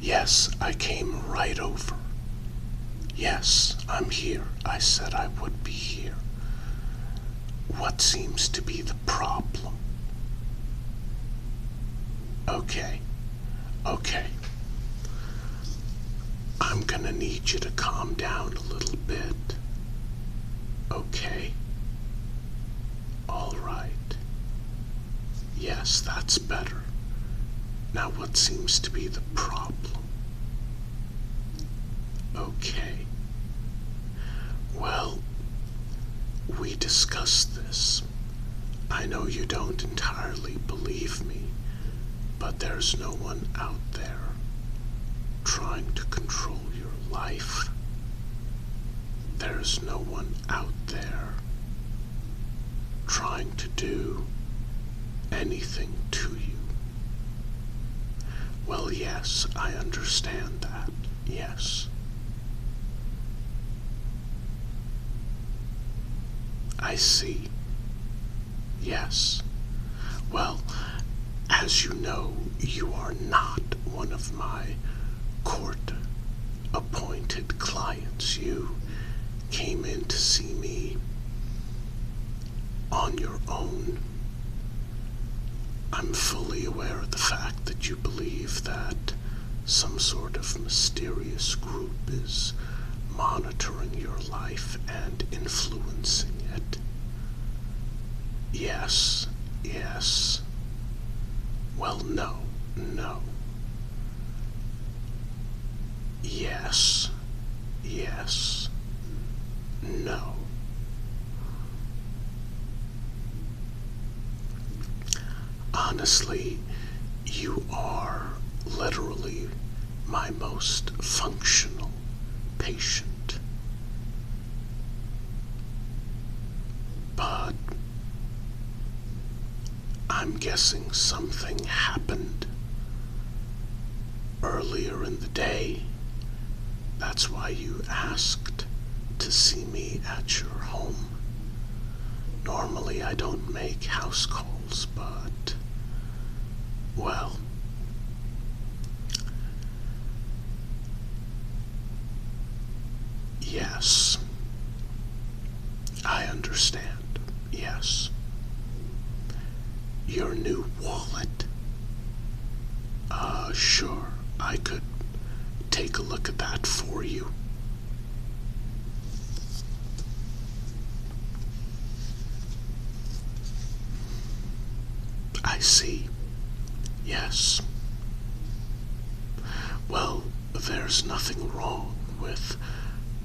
Yes, I came right over. Yes, I'm here. I said I would be here. What seems to be the problem? Okay, okay. I'm gonna need you to calm down a little bit. Okay? Alright. Yes, that's better. Now, what seems to be the problem? Okay. Well, we discuss this. I know you don't entirely believe me, but there's no one out there trying to control your life. There's no one out there trying to do anything to you. Well, yes, I understand that, yes. I see. Yes. Well, as you know, you are not one of my court appointed clients. You came in to see me on your own. I'm fully aware of the fact that you believe that some sort of mysterious group is monitoring your life and influencing it. Yes, yes. Well, no, no. Yes, yes, no. Honestly, you are literally my most functional patient. But I'm guessing something happened earlier in the day. That's why you asked to see me at your home. Normally I don't make house calls, but, well, yes, I understand, yes. Your new wallet? Uh, sure, I could take a look at that for you. I see. Yes. Well, there's nothing wrong with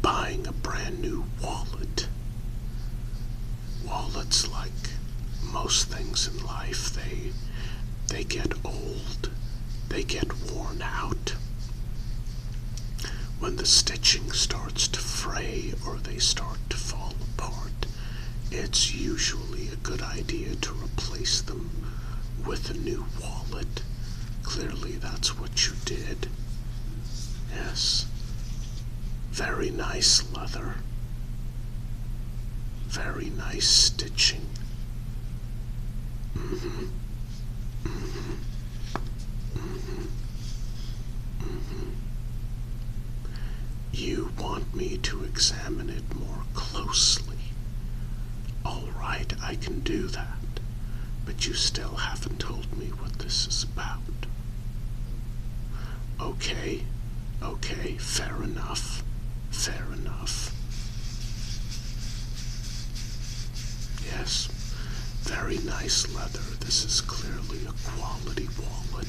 buying a brand new wallet. Wallets, like most things in life, they, they get old, they get worn out. When the stitching starts to fray or they start to fall apart, it's usually a good idea to replace them with a new wallet. Clearly, that's what you did. Yes. Very nice leather. Very nice stitching. Mm-hmm. Mm-hmm. Mm-hmm. You want me to examine it more closely. All right, I can do that, but you still haven't told me what this is about. Okay, okay, fair enough, fair enough. Yes, very nice leather. This is clearly a quality wallet.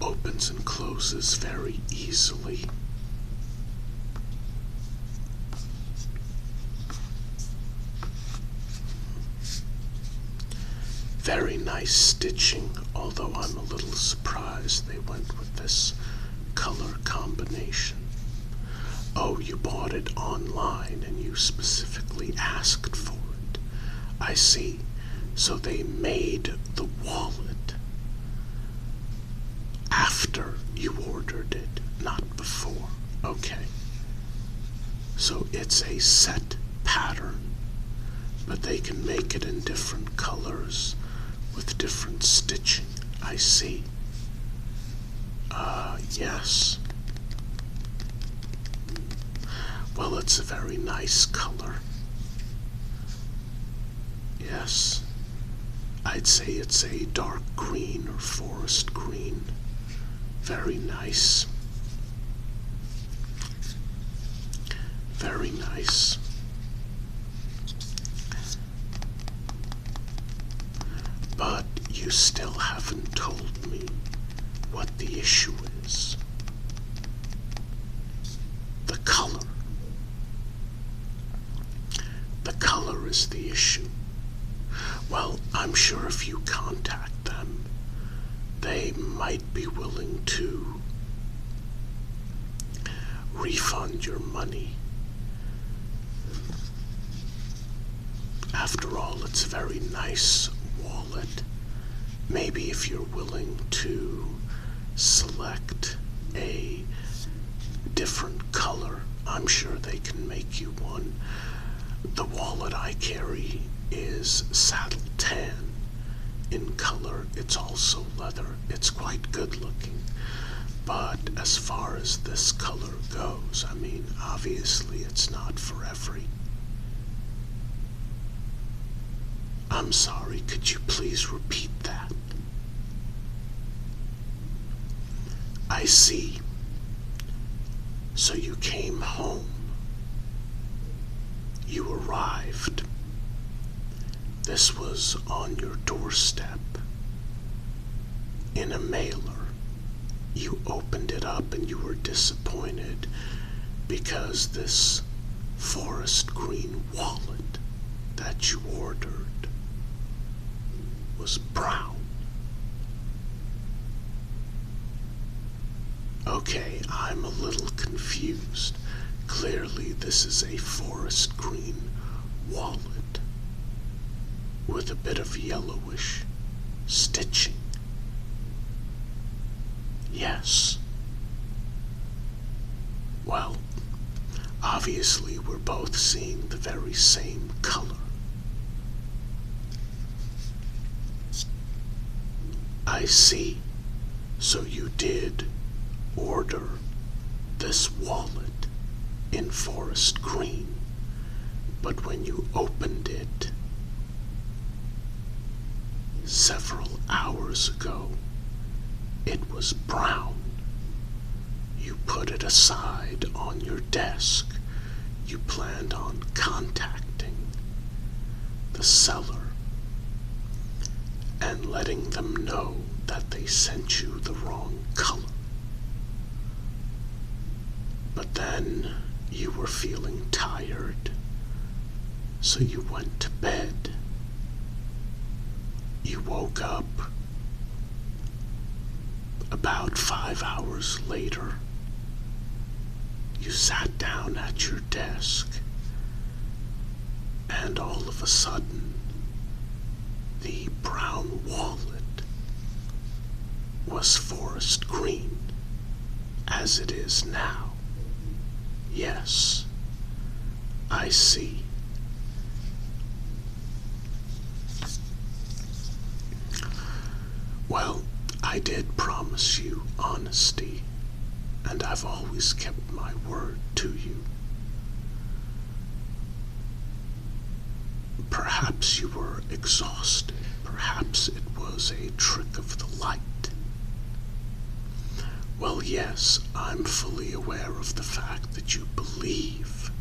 Opens and closes very easily. Very nice stitching, although I'm a little surprised they went this color combination. Oh, you bought it online and you specifically asked for it. I see. So they made the wallet after you ordered it, not before. Okay. So it's a set pattern, but they can make it in different colors with different stitching. I see. Ah, yes. Well, it's a very nice color. Yes. I'd say it's a dark green or forest green. Very nice. Very nice. But you still haven't told me what the issue is. The color. The color is the issue. Well, I'm sure if you contact them, they might be willing to refund your money. After all, it's a very nice wallet. Maybe if you're willing to select a different color, I'm sure they can make you one. The wallet I carry is saddle tan. In color, it's also leather. It's quite good looking. But as far as this color goes, I mean, obviously it's not for every. I'm sorry, could you please repeat that? I see. So you came home. You arrived. This was on your doorstep in a mailer. You opened it up and you were disappointed because this forest green wallet that you ordered was brown. Okay, I'm a little confused. Clearly, this is a forest green wallet with a bit of yellowish stitching. Yes. Well, obviously, we're both seeing the very same color. I see. So you did order this wallet in forest green, but when you opened it several hours ago, it was brown. You put it aside on your desk. You planned on contacting the seller and letting them know that they sent you the wrong color. But then you were feeling tired, so you went to bed. You woke up about five hours later. You sat down at your desk and all of a sudden, the brown wallet was forest green as it is now. Yes, I see. Well, I did promise you honesty, and I've always kept my word to you. Perhaps you were exhausted. Perhaps it was a trick of the light. Well, yes, I'm fully aware of the fact that you believe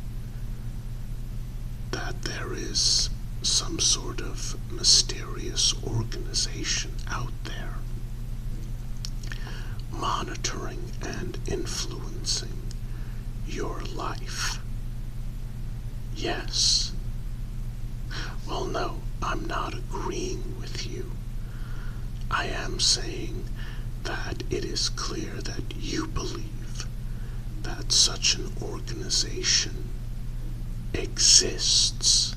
that there is some sort of mysterious organization out there monitoring and influencing your life. Yes. Well, no, I'm not agreeing with you. I am saying that it is clear that you believe that such an organization exists.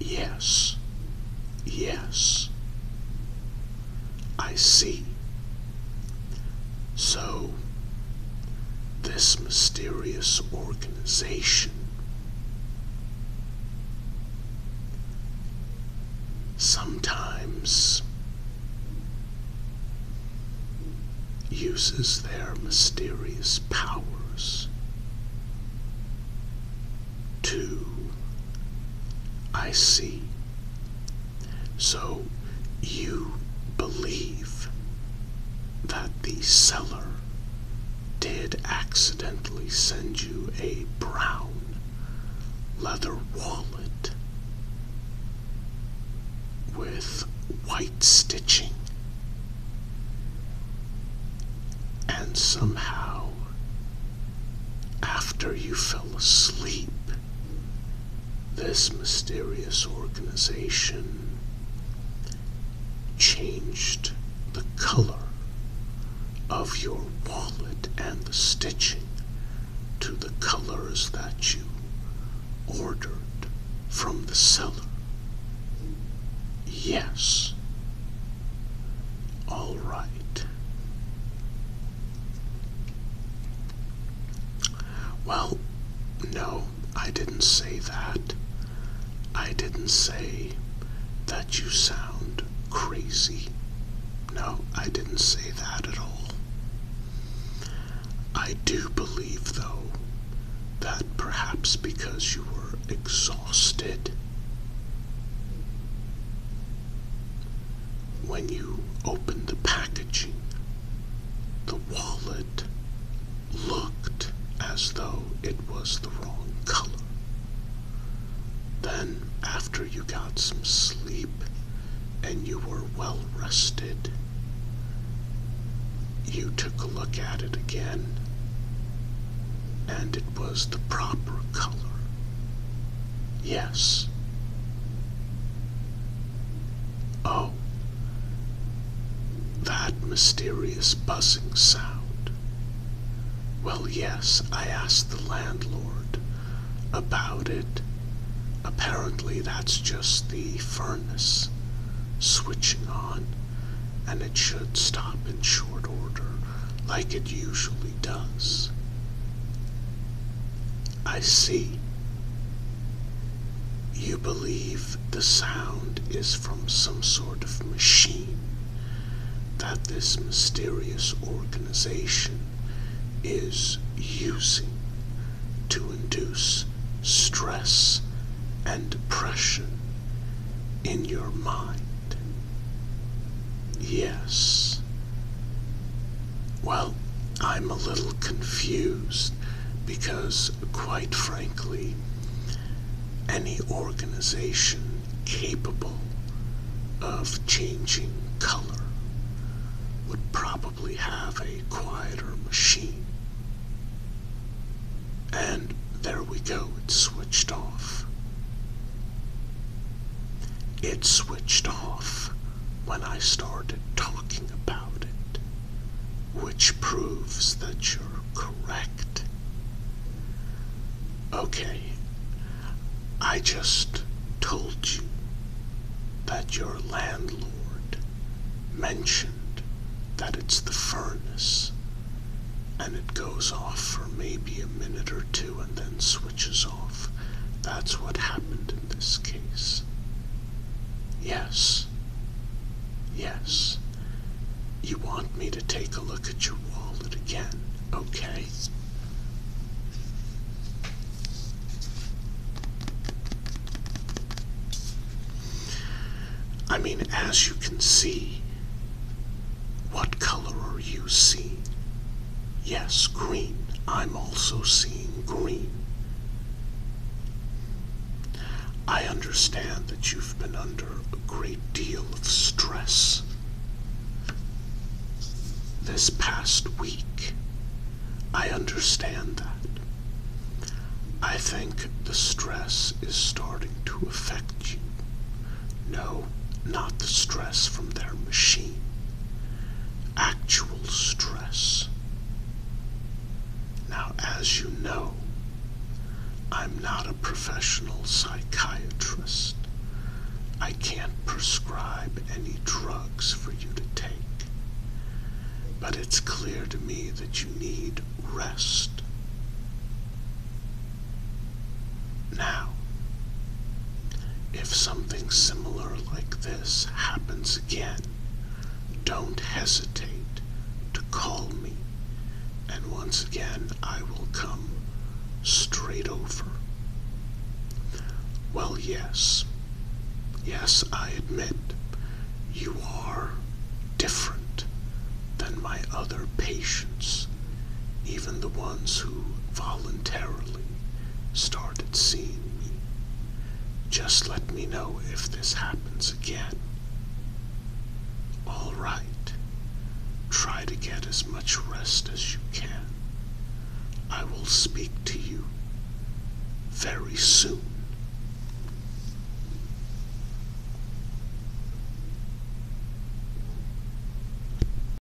Yes. Yes. I see. So, this mysterious organization sometimes uses their mysterious powers two. I see. So you believe that the seller did accidentally send you a brown leather wallet with white stitching and somehow after you fell asleep, this mysterious organization changed the color of your wallet and the stitching to the colors that you ordered from the seller. Yes, all right. Well, no, I didn't say that. I didn't say that you sound crazy. No, I didn't say that at all. I do believe, though, that perhaps because you were exhausted, when you opened the packaging, the wallet looked as though it was the wrong color. Then, after you got some sleep and you were well rested, you took a look at it again and it was the proper color. Yes. Oh, that mysterious buzzing sound. Well, yes, I asked the landlord about it. Apparently, that's just the furnace switching on, and it should stop in short order like it usually does. I see. You believe the sound is from some sort of machine that this mysterious organization is using to induce stress and depression in your mind. Yes. Well, I'm a little confused because, quite frankly, any organization capable of changing color would probably have a quieter machine. And there we go, it's switched off. It switched off when I started talking about it, which proves that you're correct. Okay, I just told you that your landlord mentioned that it's the furnace and it goes off for maybe a minute or two and then switches that's what happened in this case. Yes. Yes. You want me to take a look at your wallet again, okay? I mean, as you can see, what color are you seeing? Yes, green. I'm also seeing green. I understand that you've been under a great deal of stress this past week. I understand that. I think the stress is starting to affect you. No, not the stress from their machine. Actual stress. Now, as you know, I'm not a professional psychiatrist. I can't prescribe any drugs for you to take. But it's clear to me that you need rest. Now, if something similar like this happens again, don't hesitate to call me, and once again I will come straight over. Well, yes, yes, I admit you are different than my other patients, even the ones who voluntarily started seeing me. Just let me know if this happens again. All right. Try to get as much rest as you can. I will speak to you very soon.